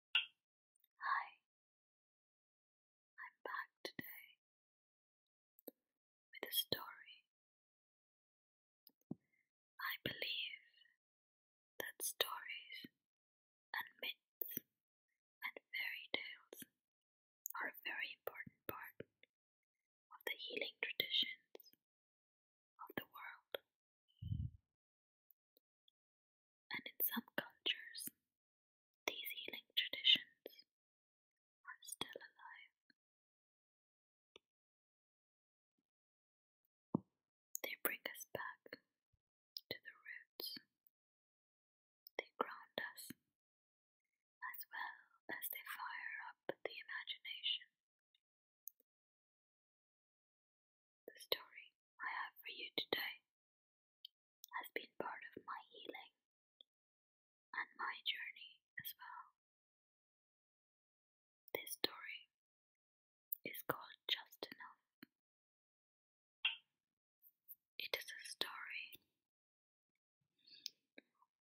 Hi, I'm back today with a story. I believe that stories and myths and fairy tales are a very important part of the healing traditions of the world. And in some cultures, these healing traditions are still alive. They bring us back to the roots, they ground us. As well as they fire up the imagination the story I have for you today has been part of my healing and my journey as well. This story is called Just Enough. It is a story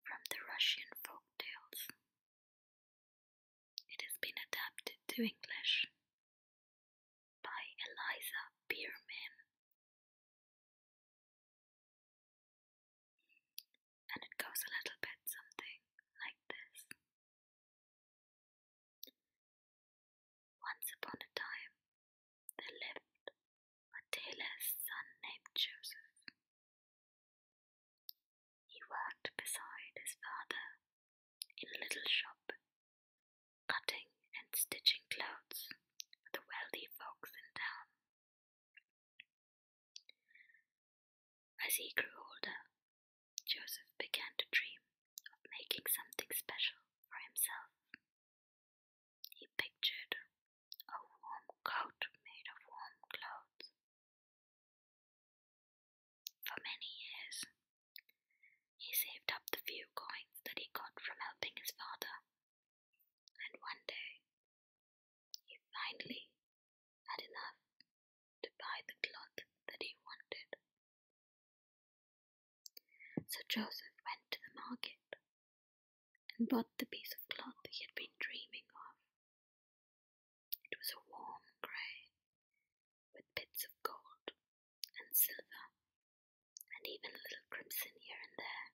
from the Russian folk tales. It has been adapted to English by Eliza Bierman. And it goes a little bit something like this. Once upon a time, there lived a tailor's son named Joseph. He worked beside his father in a little shop, cutting and stitching clothes for the wealthy folks in town. As he grew older, Joseph began to dream of making something special for himself. He pictured a warm coat made of warm clothes, for many years, he saved up the few coins that he got from helping his father, and one day he finally had enough to buy the cloth that he wanted. So Joseph went to the market and bought the piece of cloth he had been dreaming of. It was a warm grey with bits of gold and silver, and even a little crimson here and there.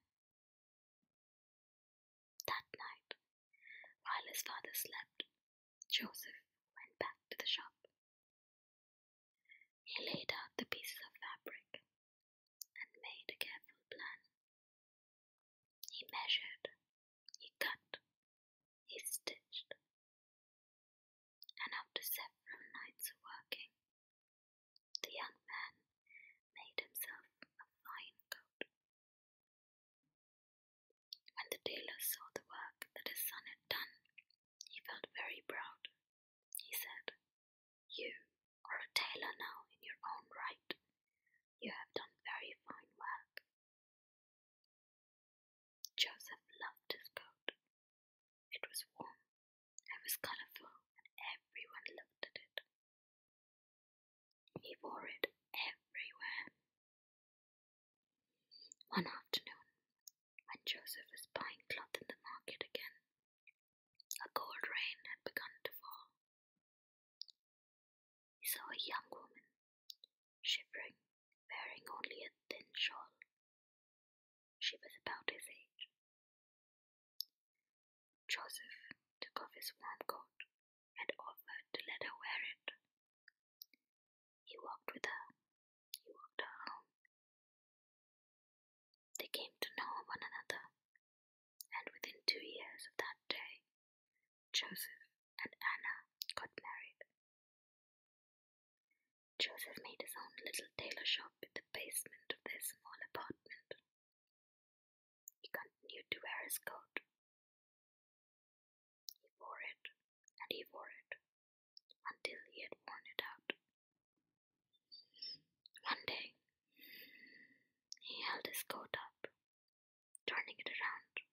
That night, while his father slept, Joseph went back to the shop. He laid out the pieces of fabric and made a careful plan. He measured, he cut, he stitched. And after several nights of working, the young man made himself a fine coat. When the tailor saw the work that his son had done, he felt very proud. He said, You are a tailor now in your own right. You have done very fine work. Joseph loved his coat. It was warm, it was colourful, and everyone looked at it. He wore it everywhere. One afternoon, when Joseph was buying cloth in the market again, a cold rain had begun to fall. He saw a young woman shivering, wearing only a thin shawl. She was about his age. Joseph took off his warm coat and offered to let her wear it. He walked with her. He walked her home. They came to know one another, and within two years of that day, Joseph and Anna got married. Joseph made his own little tailor shop in the basement of their small apartment. He continued to wear his coat. He wore it, and he wore it, until he had worn it out. One day, he held his coat up, turning it around,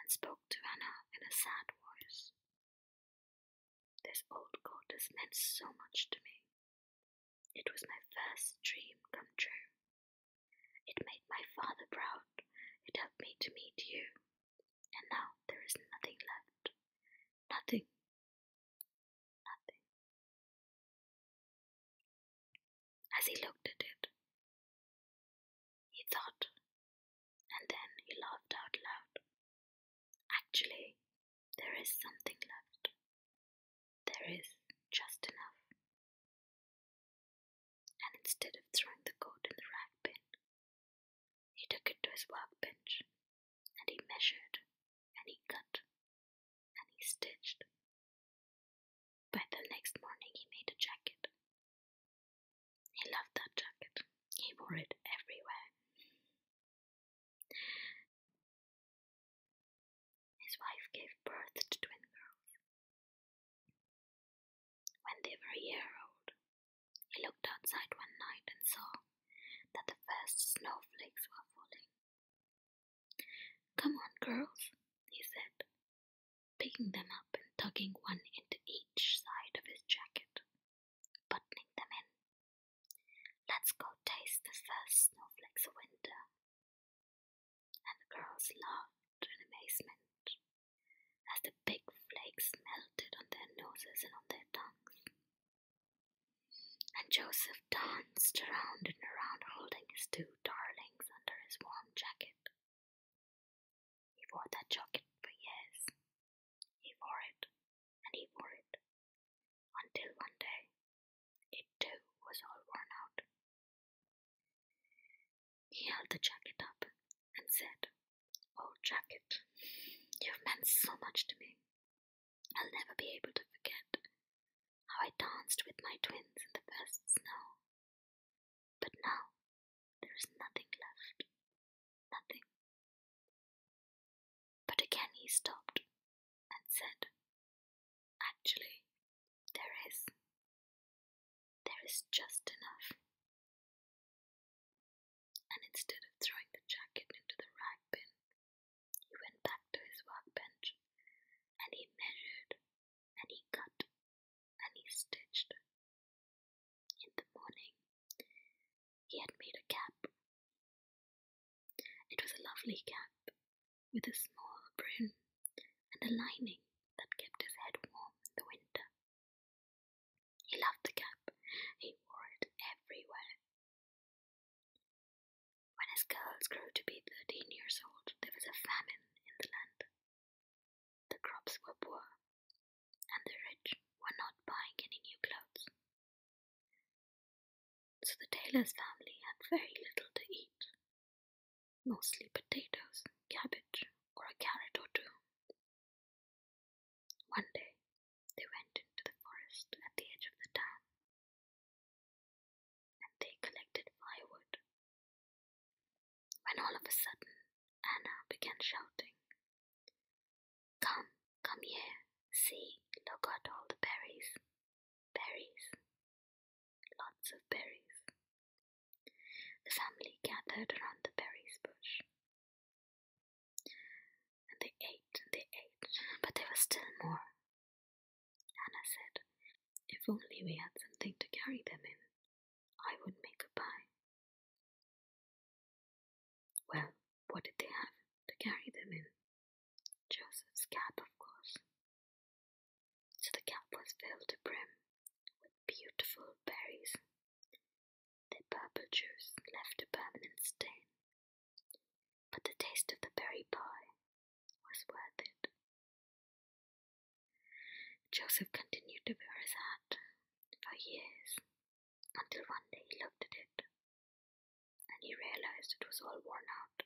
and spoke to Anna in a sad voice. This old goddess meant so much to me. It was my first dream come true. It made my father proud. It helped me to meet you. And now there is nothing left. Nothing. Nothing. As he looked at it, he thought, and then he laughed out loud. Actually, there is something left. There is just enough. And instead of throwing the coat in the rag bin, he took it to his workbench and he measured and he cut and he stitched. By the next morning, he made a jacket he loved that jacket, he wore it everywhere. His wife gave birth to twin girls. When they were a year old, he looked outside one night and saw that the first snowflakes were falling. Come on, girls, he said, picking them up and tugging one into each side of his jacket buttoning them in. Let's go taste the first snowflakes of winter. And the girls laughed in amazement as the big flakes melted on their noses and on their tongues. And Joseph danced around and around, holding his two darlings under his warm jacket. He wore that jacket for years. He wore it, and he wore it, until one day it too was all worn out. He held the jacket up and said, "Old oh, jacket, you've meant so much to me. I'll never be able to forget how I danced with my twins in the first snow. But now there is nothing left. Nothing. But again he stopped and said, Actually, there is. There is just enough. And instead of throwing the jacket into the rag bin, he went back to his workbench and he measured and he cut and he stitched in the morning, he had made a cap. It was a lovely cap with a small brim and a lining that kept his head warm in the winter. He loved the cap, he wore it everywhere. When his girls grew to be thirteen years old, there was a famine in the land. The crops were poor, and the rich were not buying any new clothes. So the tailor's family had very little to eat, mostly potatoes, cabbage, or a carrot or two. One day, they went into the forest at the edge of the town and they collected firewood. When all of a sudden Anna began shouting. Come, come here. See, look at all the berries. Berries. Lots of berries. The family gathered around the berries bush. And they ate and they ate, but there was still more. Anna said, If only we had something to carry them in. I would make a pie. Well, what did they have to carry them in? Joseph's cap, of course. So the cap was filled to brim with beautiful berries. The purple juice left a permanent stain, but the taste of the berry pie was worth it. Joseph continued to wear his hat for years until one day he looked at it and he realized it was all worn out.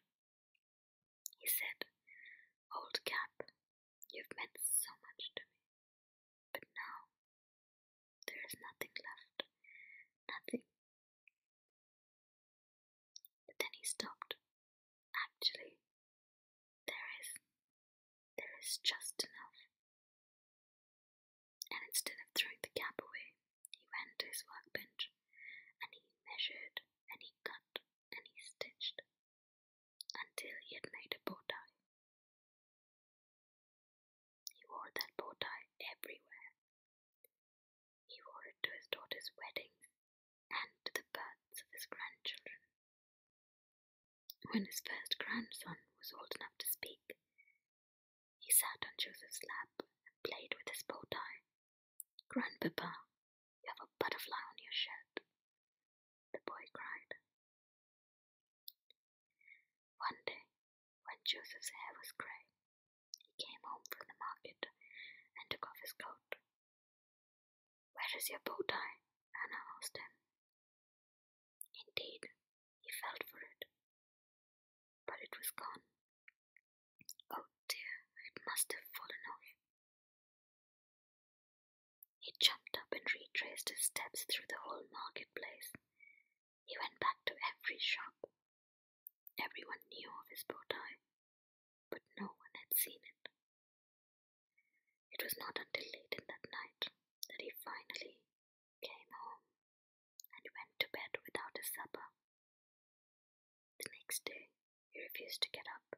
He said, Old cap, you've meant so much to me, but now there is nothing left, nothing. But then he stopped. Actually, there is there is just enough. And instead of throwing the cap away, he went to his workbench and he measured and he cut and he stitched until he had made a bow He wore that bow everywhere. He wore it to his daughter's wedding and to the births of his grandchildren. When his first grandson was old enough to speak, he sat on Joseph's lap and played with his bow tie. Grandpapa, you have a butterfly on your shirt, the boy cried. One day, when Joseph's hair was grey, he came home from the market and took off his coat. Where is your bow tie? Anna asked him Indeed, he felt for it, but it was gone. Oh dear, it must have fallen off. He jumped up and retraced his steps through the whole marketplace. He went back to every shop. Everyone knew of his bow tie, but no one had seen it. It was not until late in that night that he finally came home, and went to bed without his supper. The next day he refused to get up.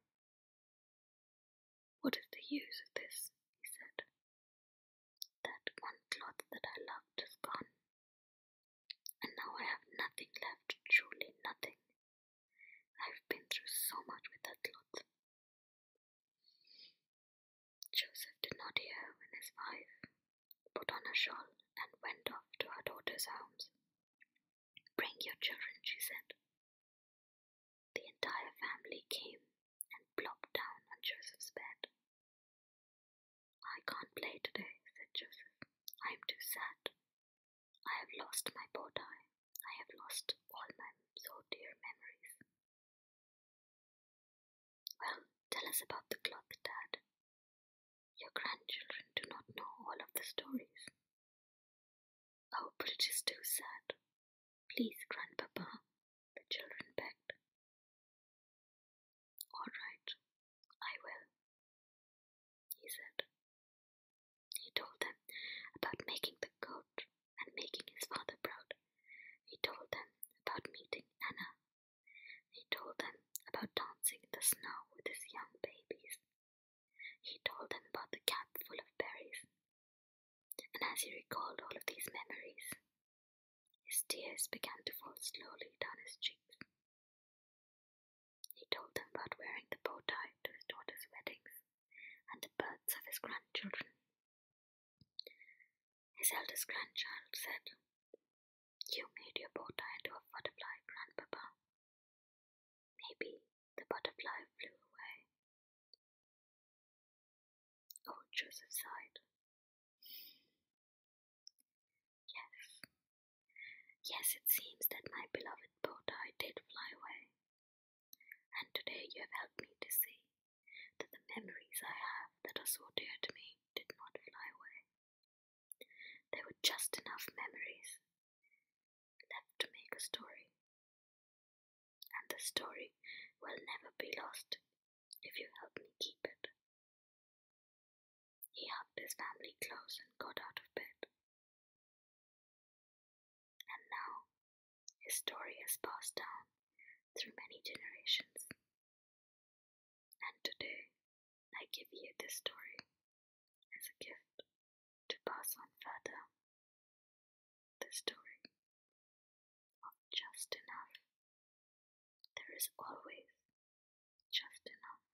What is the use of this? he said. That one cloth that I loved is gone, and now I have nothing left, truly nothing. I've been through so much with that cloth. Joseph did not hear when his wife put on a shawl and went off to her daughter's arms. Bring your children, she said. The entire family came and plopped down on Joseph's bed. I can't play today, said Joseph. I am too sad. I have lost my bow tie. I have lost all my so dear memories. Well, tell us about the clock, Dad. Your grandchildren do not know all of the stories. Oh, but it is too sad. Please, Grandpapa, the children begged. All right, I will, he said. He told them about making the coat and making his father proud. He told them about meeting Anna. He told them about dancing in the snow with his young babies. He told them about the cap full of berries. And as he recalled all of these memories, his tears began to fall slowly down his cheeks. He told them about wearing the bow tie to his daughter's weddings and the births of his grandchildren his eldest grandchild said, You made your porter into a butterfly, Grandpapa. Maybe the butterfly flew away. Old Joseph sighed. Yes, yes, it seems that my beloved porter did fly away, and today you have helped me to see that the memories I have that are so dear to me did not fly away. There were just enough memories left to make a story. And the story will never be lost if you help me keep it. He hugged his family close and got out of bed. And now his story has passed down through many generations. And today, I give you this story as a gift to pass on further. This story of just enough. There is always just enough.